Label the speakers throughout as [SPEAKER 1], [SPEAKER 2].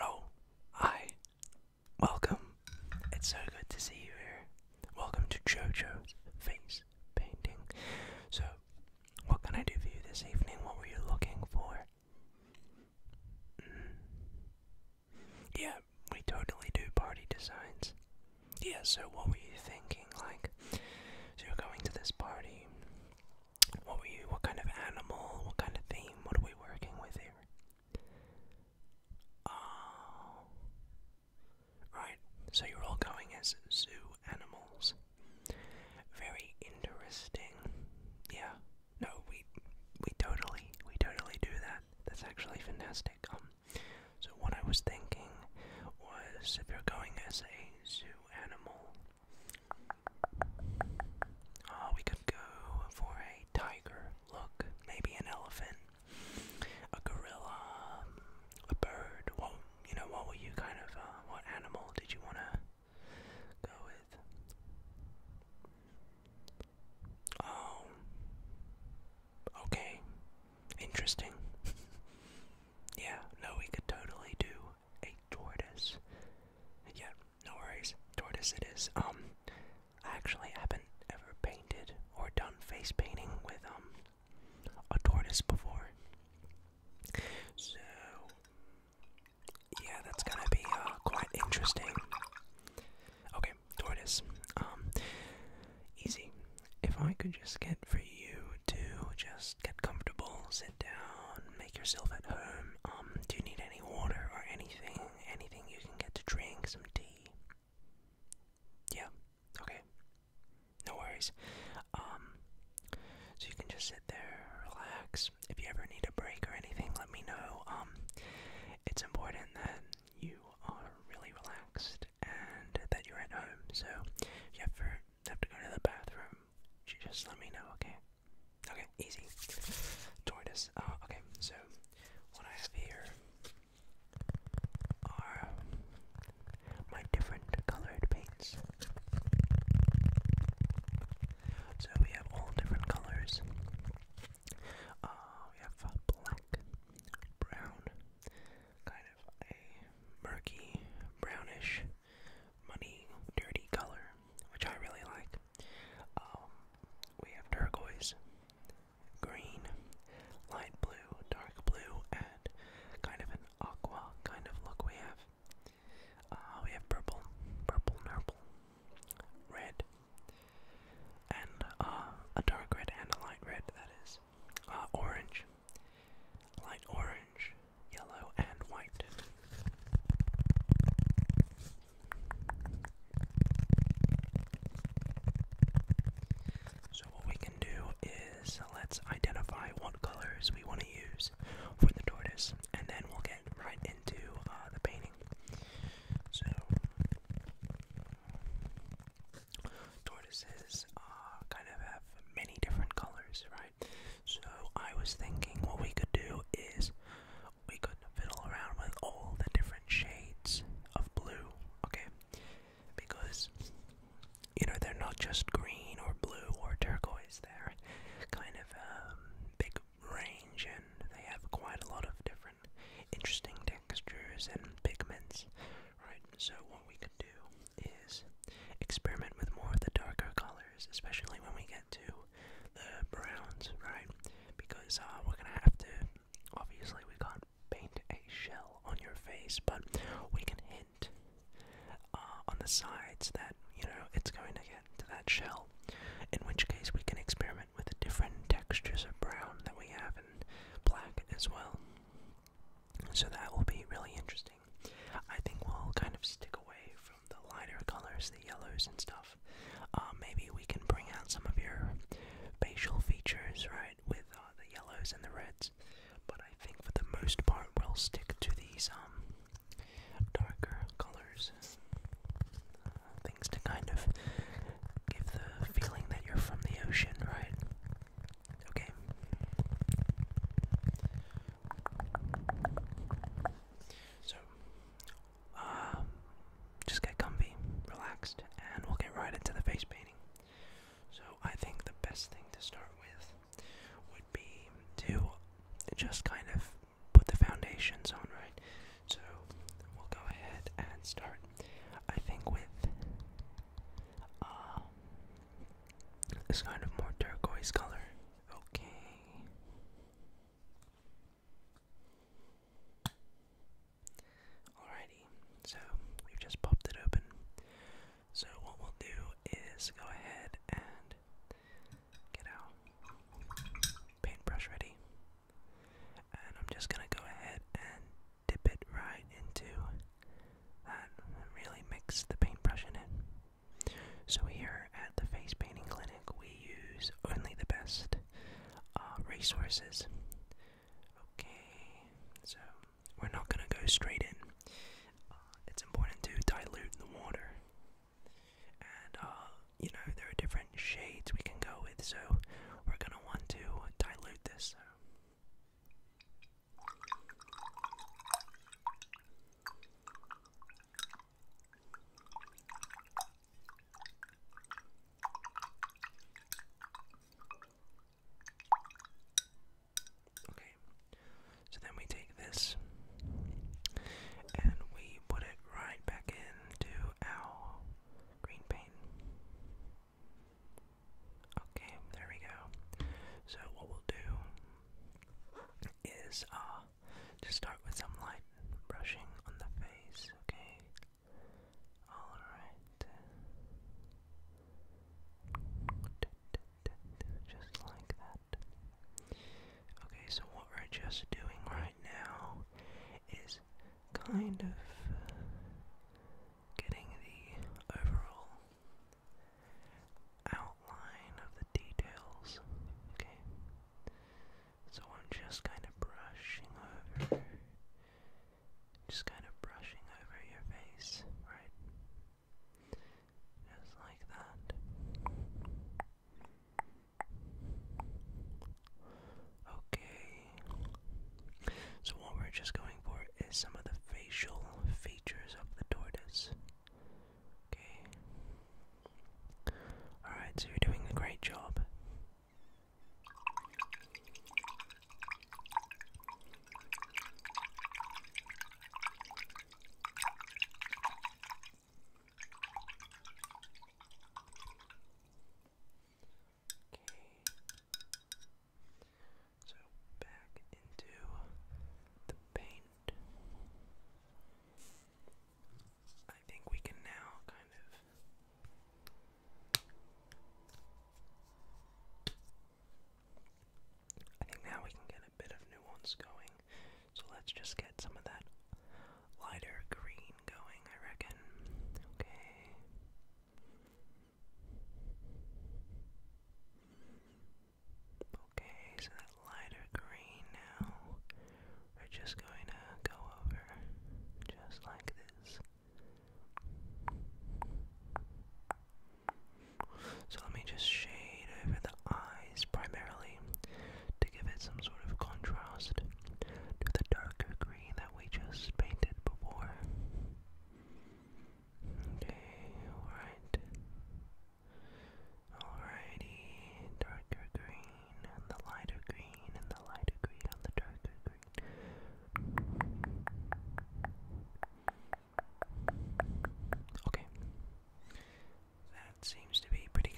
[SPEAKER 1] Oh, hi. Welcome. It's so good to see you here. Welcome to JoJo's face painting. So, what can I do for you this evening? What were you looking for? Mm. Yeah, we totally do party designs. Yeah, so what were you thinking? Like, so you're going to this party. What were you, what kind of animal, what kind of theme, what are we working with here? Oh. Right, so you're all going as zoo animals. Very interesting. Yeah, no, we, we totally, we totally do that. That's actually fantastic. Um, so what I was thinking was if you're going as a zoo animal, uh, we could go for a tiger look, maybe an elephant, a gorilla, a bird. What you know? What were you kind of? Uh, what animal did you wanna go with? Oh. Okay. Interesting. yeah, no, we could totally do a tortoise. Yeah, no worries. Tortoise it is. Um, I actually haven't ever painted or done face painting with, um, a tortoise before. So, yeah, that's gonna be, uh, quite interesting. Okay, tortoise. Um, easy. If I could just get for you to just get comfortable, sit down, make yourself at home. Um, do you need any water or anything? Anything you can get to drink? Some tea? Yeah. Okay. No worries. Um, so you can just sit there, relax. If you ever need a break or anything, let me know. Um, it's important that you are really relaxed and that you're at home. So if you ever have to go to the bathroom, just let me know, okay? Okay, easy. Tortoise. Uh, okay, so what I have here are my different colored paints. So we have all different colors uh, we have a black, brown, kind of a murky, brownish, muddy, dirty color, which I really like. Um, we have turquoise, green, light blue, dark blue, and kind of an aqua kind of look we have. Uh, we have purple, purple, purple, red, and uh, a dark red and a light red, that is, uh, orange, light orange, yellow, and white. So, what we can do is let's identify what colors we want to use for the tortoise, and then we'll get right into uh, the painting. So, tortoises uh, kind of have many different colors, right? So, I was thinking what we could do is we could fiddle around with all the different shades of blue, okay? Because, you know, they're not just green or blue or turquoise, they're kind of a um, big range and they have quite a lot of different interesting textures and pigments, right? So, what we can do is experiment with more of the darker colors, especially when we get to the browns, right? Because uh, we're gonna have to, obviously, we can't paint a shell on your face, but we can hint uh, on the sides that, you know, it's going to get to that shell, in which case we can experiment with the different textures of brown that we have in black as well. So that will be really interesting. I think we'll kind of stick away from the lighter colors, the yellows and stuff. Uh, maybe we can bring out some of your facial features, right, with uh, the yellows and the reds. But I think for the most part, we'll stick to these um, darker colors things to kind of give the feeling that you're from the ocean, right? Okay. So, um, just get comfy, relaxed, and we'll get right into the face painting. So, I think the best thing to start with would be to just kind of put the foundations on, right? So we'll go ahead and start. I think with um, this kind of more turquoise color. Okay. Alrighty, so we've just popped it open. So, what we'll do is go ahead and get our paintbrush ready. And I'm just gonna go ahead and dip it right into and really mix the paintbrush in it. So here at the Face Painting Clinic, we use only the best uh, resources. Okay, so we're not gonna go straight in. Uh, it's important to dilute the water and uh, you know there are different shades we can go with, so we're gonna want to dilute this. Okay, so then we take this and we put it right back in into our green paint. Okay, there we go. So what we'll do is uh just start with some light brushing on the face, okay? Alright. Just like that. Okay, so what we're just doing right now is kind of getting the overall outline of the details. Okay, so I'm just kind of brushing over, just kind of brushing over your face, right? Just like that. Okay. So, what we're just going for is some of the facial features of the tortoise. Okay. Alright, so you're doing a great job. Okay. So back into the paint. I think we can now kind of. I think now we can get a bit of nuance going so let's just get some of that lighter green going, I reckon. Okay. Okay, so that lighter green now, we're just going to go over just like this. So let me just shade over the eye primarily to give it some sort of contrast to the darker green that we just painted before. Okay, alright. Alrighty, darker green and the lighter green and the lighter green and the darker green. Okay. That seems to be pretty good.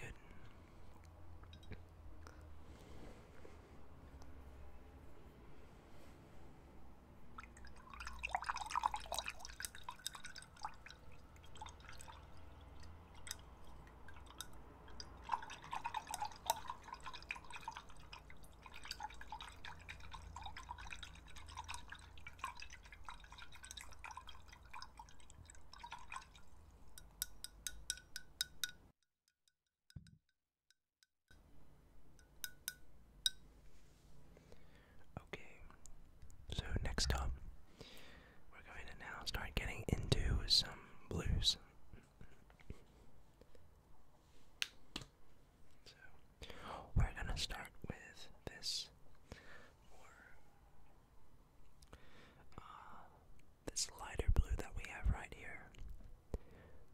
[SPEAKER 1] Okay, so next up, we're going to now start getting into some blues. So, we're going to start with this uh, this lighter blue that we have right here.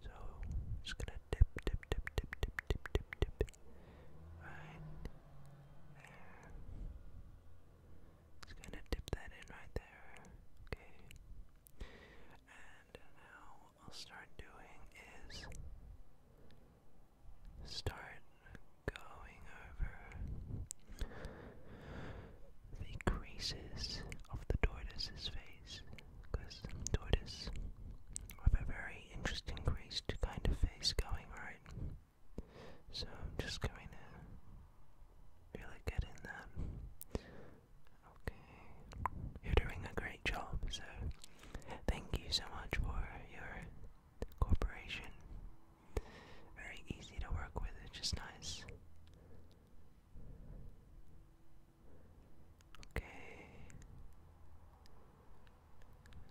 [SPEAKER 1] So just gonna dip, dip, dip, dip, dip, dip, dip, dip. Right there. Just gonna dip that in right there. Okay. And now I'll start doing is start going over the creases of the tortoise's face because tortoise have a very interesting creased kind of face going right so I'm just going to really get in that okay you're doing a great job so thank you so much for your cooperation very easy to work with, it's just nice. Okay.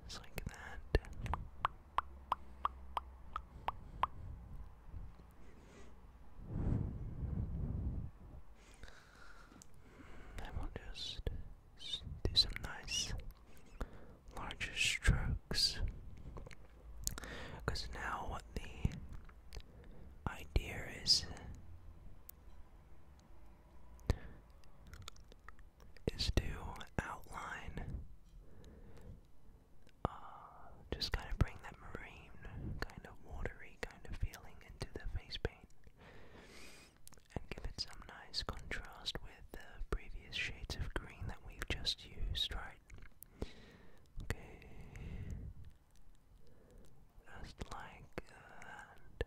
[SPEAKER 1] Just like that. Hmm, I will just do some nice larger strokes. Because now what the idea is is to outline, uh, just kind of bring that marine, kind of watery kind of feeling into the face paint and give it some nice contrast with the previous shades of green that we've just used, right? Okay. Just like that.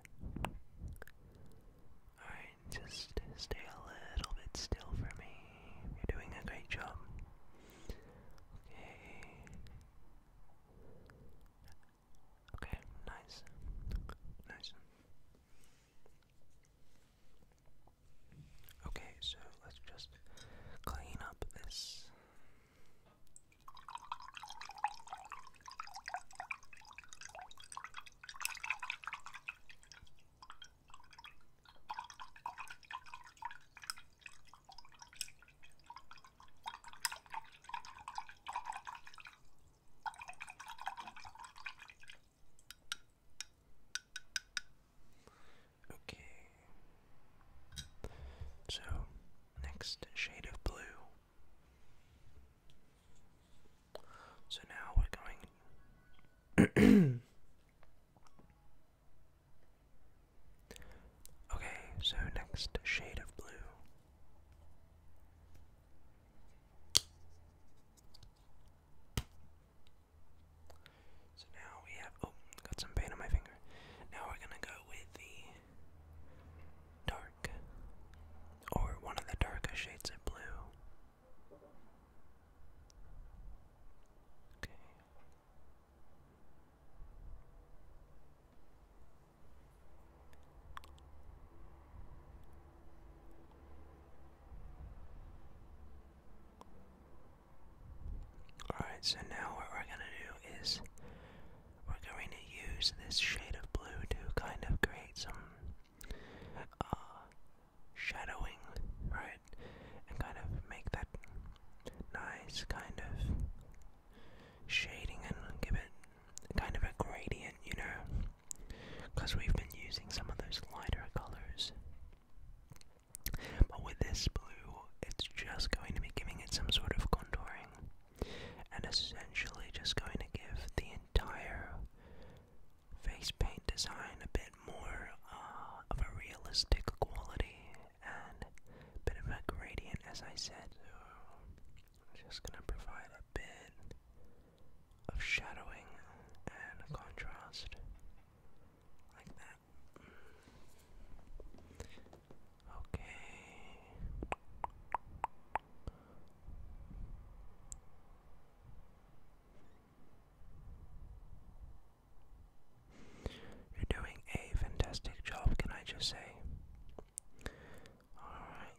[SPEAKER 1] Alright, just stay a little bit still for me. You're doing a great job. Okay. Okay, nice. Nice. Okay, so let's just clean up this. Okay. So, next shade of blue. So now we're going. okay, so next shade of blue. So now we have. Oh, got some paint on my finger. Now we're gonna go with the dark, or one of the darker shades of blue. Okay. Alright, so now what we're going to do is we're going to use this shade of blue to kind of create some uh, shadowing, right? And kind of make that nice kind of shading and give it kind of a gradient, you know? because we've been using some of those lighter colors. But with this blue, it's just going to be giving it some sort of contouring and essentially just going to give the entire face paint design a bit more uh, of a realistic quality and a bit of a gradient, as I said. just going to provide a bit of shadowing and contrast like that. Okay. You're doing a fantastic job, can I just say? Alright,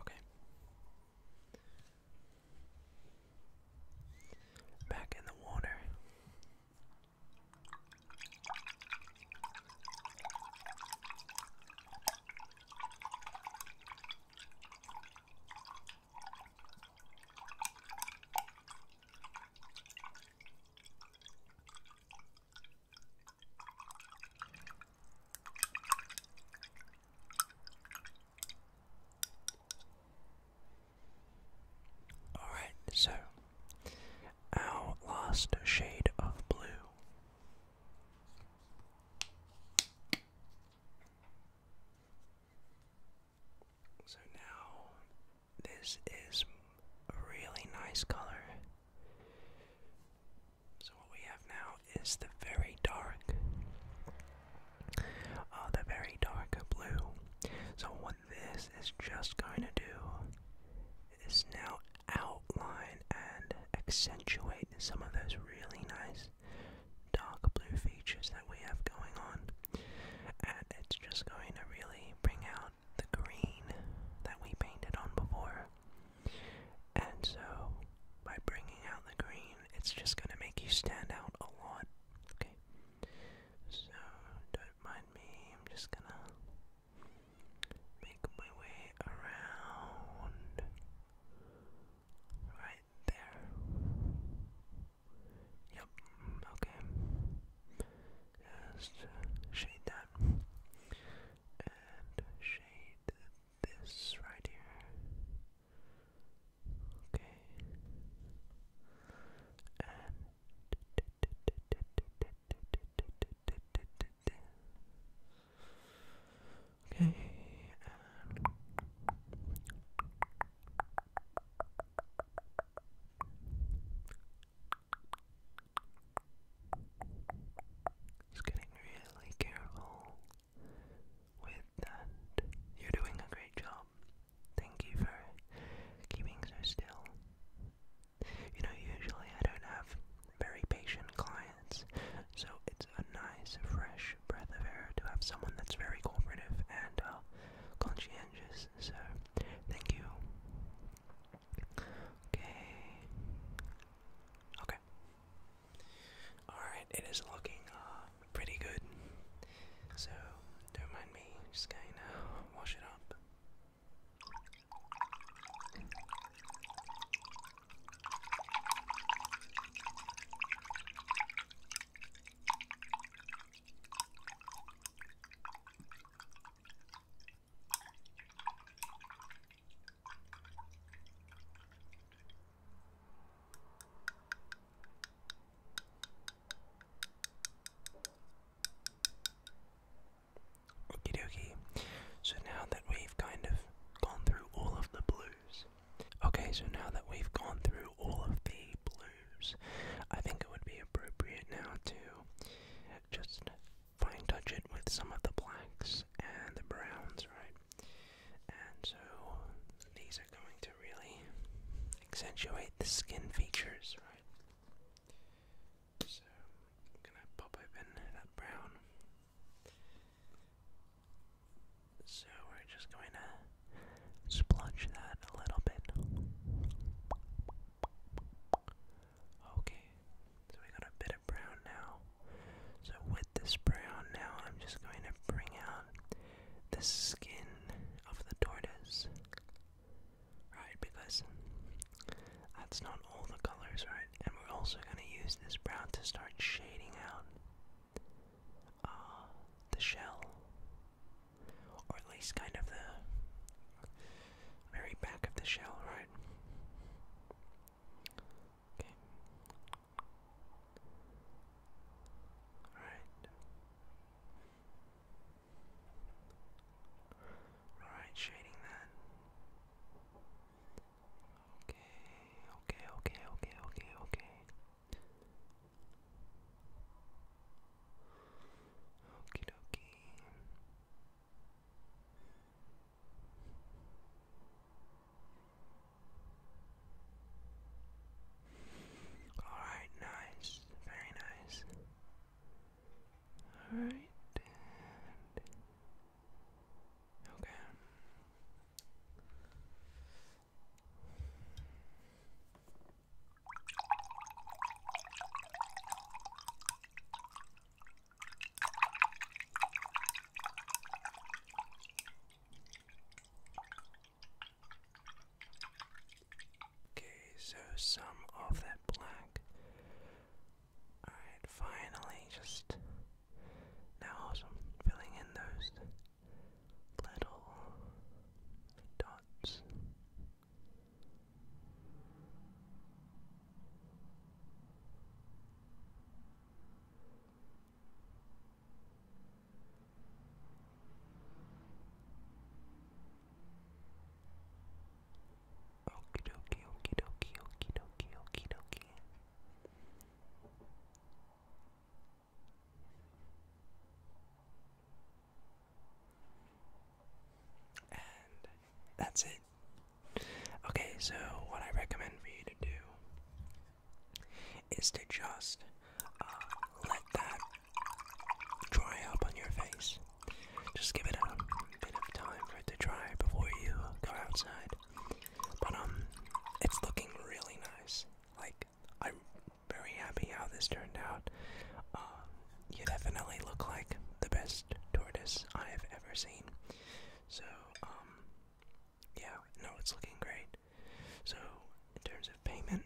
[SPEAKER 1] Okay. Back in the water. Alright, so our last shade of blue. So now, this is a really nice color. So, what we have now is the very dark, uh, the very dark blue. So, what this is just going to do is now outline and accentuate some of those really nice dark blue features that we have going on, and it's just going to really bring out the green that we painted on before. And so, by bringing out the green, it's just going to make you stand out a lot. Okay? So, don't mind me, I'm just going to make my way around. Right there. Yep, okay. Just shade that. And shade this right here. Okay. And Okay. And getting really careful with that. You're doing a great job. Thank you for keeping so still. You know, usually I don't have very patient clients. So it's a nice, fresh breath of air to have someone that's very cooperative and uh, conscientious. So thank you. Okay. Okay. Alright, it is looking uh, pretty good. So don't mind me, just gonna wash it up. Okie dokie. So now that we've kind of gone through all of the blues, Okay, so now that we've gone through all of the blues, I think it would be appropriate now to just fine touch it with some of the blacks and the browns, right? And so these are going to really accentuate the skin features, right? So I'm gonna pop open that brown. So we're just going to splotch that a little bit. Okay, so we got a bit of brown now. So with this brown now, I'm just going to bring out the skin of the tortoise. Right, because that's not all the colors, right? And we're also going to use this brown to start shading out uh, the shell, or at least kind of the very back of the shell, right? Okay. Alright. Alright, shading that. Okay, okay, okay, okay, okay, okay. Okie dokie. Alright, nice. Very nice. Alright, and. Okay. Okay, so some of that black. Alright, finally, just now I'm filling in those little dots. Okie dokie, okie dokie, okie dokie, okie dokie. And that's it. Okay, so what I recommend for you to do is to just uh, let that dry up on your face. Just give it a bit of time for it to dry before you go outside. But um, it's looking really nice. Like I'm very happy how this turned out. Um, you definitely look like the best tortoise I have ever seen. So um, yeah, no, it's looking great. So in terms of payment,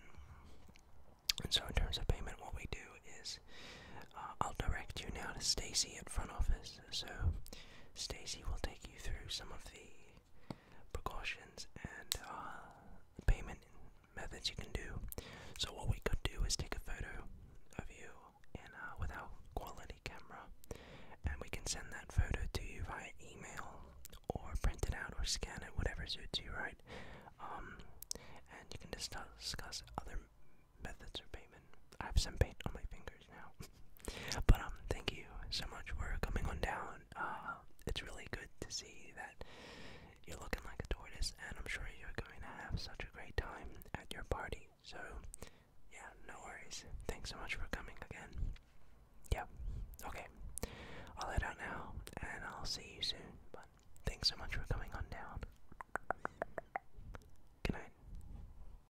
[SPEAKER 1] and so in terms of payment, what we do is uh, I'll direct you now to Stacy at front office. So, Stacy will take you through some of the precautions and uh, payment methods you can do. So, what we could do is take a photo of you uh, in our quality camera, and we can send that photo to you via email or print it out or scan it, whatever suits you, right? Um, and you can discuss other methods of payment. I have some paint on my fingers but um, thank you so much for coming on down. Uh, it's really good to see that you're looking like a tortoise, and I'm sure you're going to have such a great time at your party. So, yeah, no worries. Thanks so much for coming again. Yeah, okay. I'll head out now, and I'll see you soon. But thanks so much for coming on down. Good night.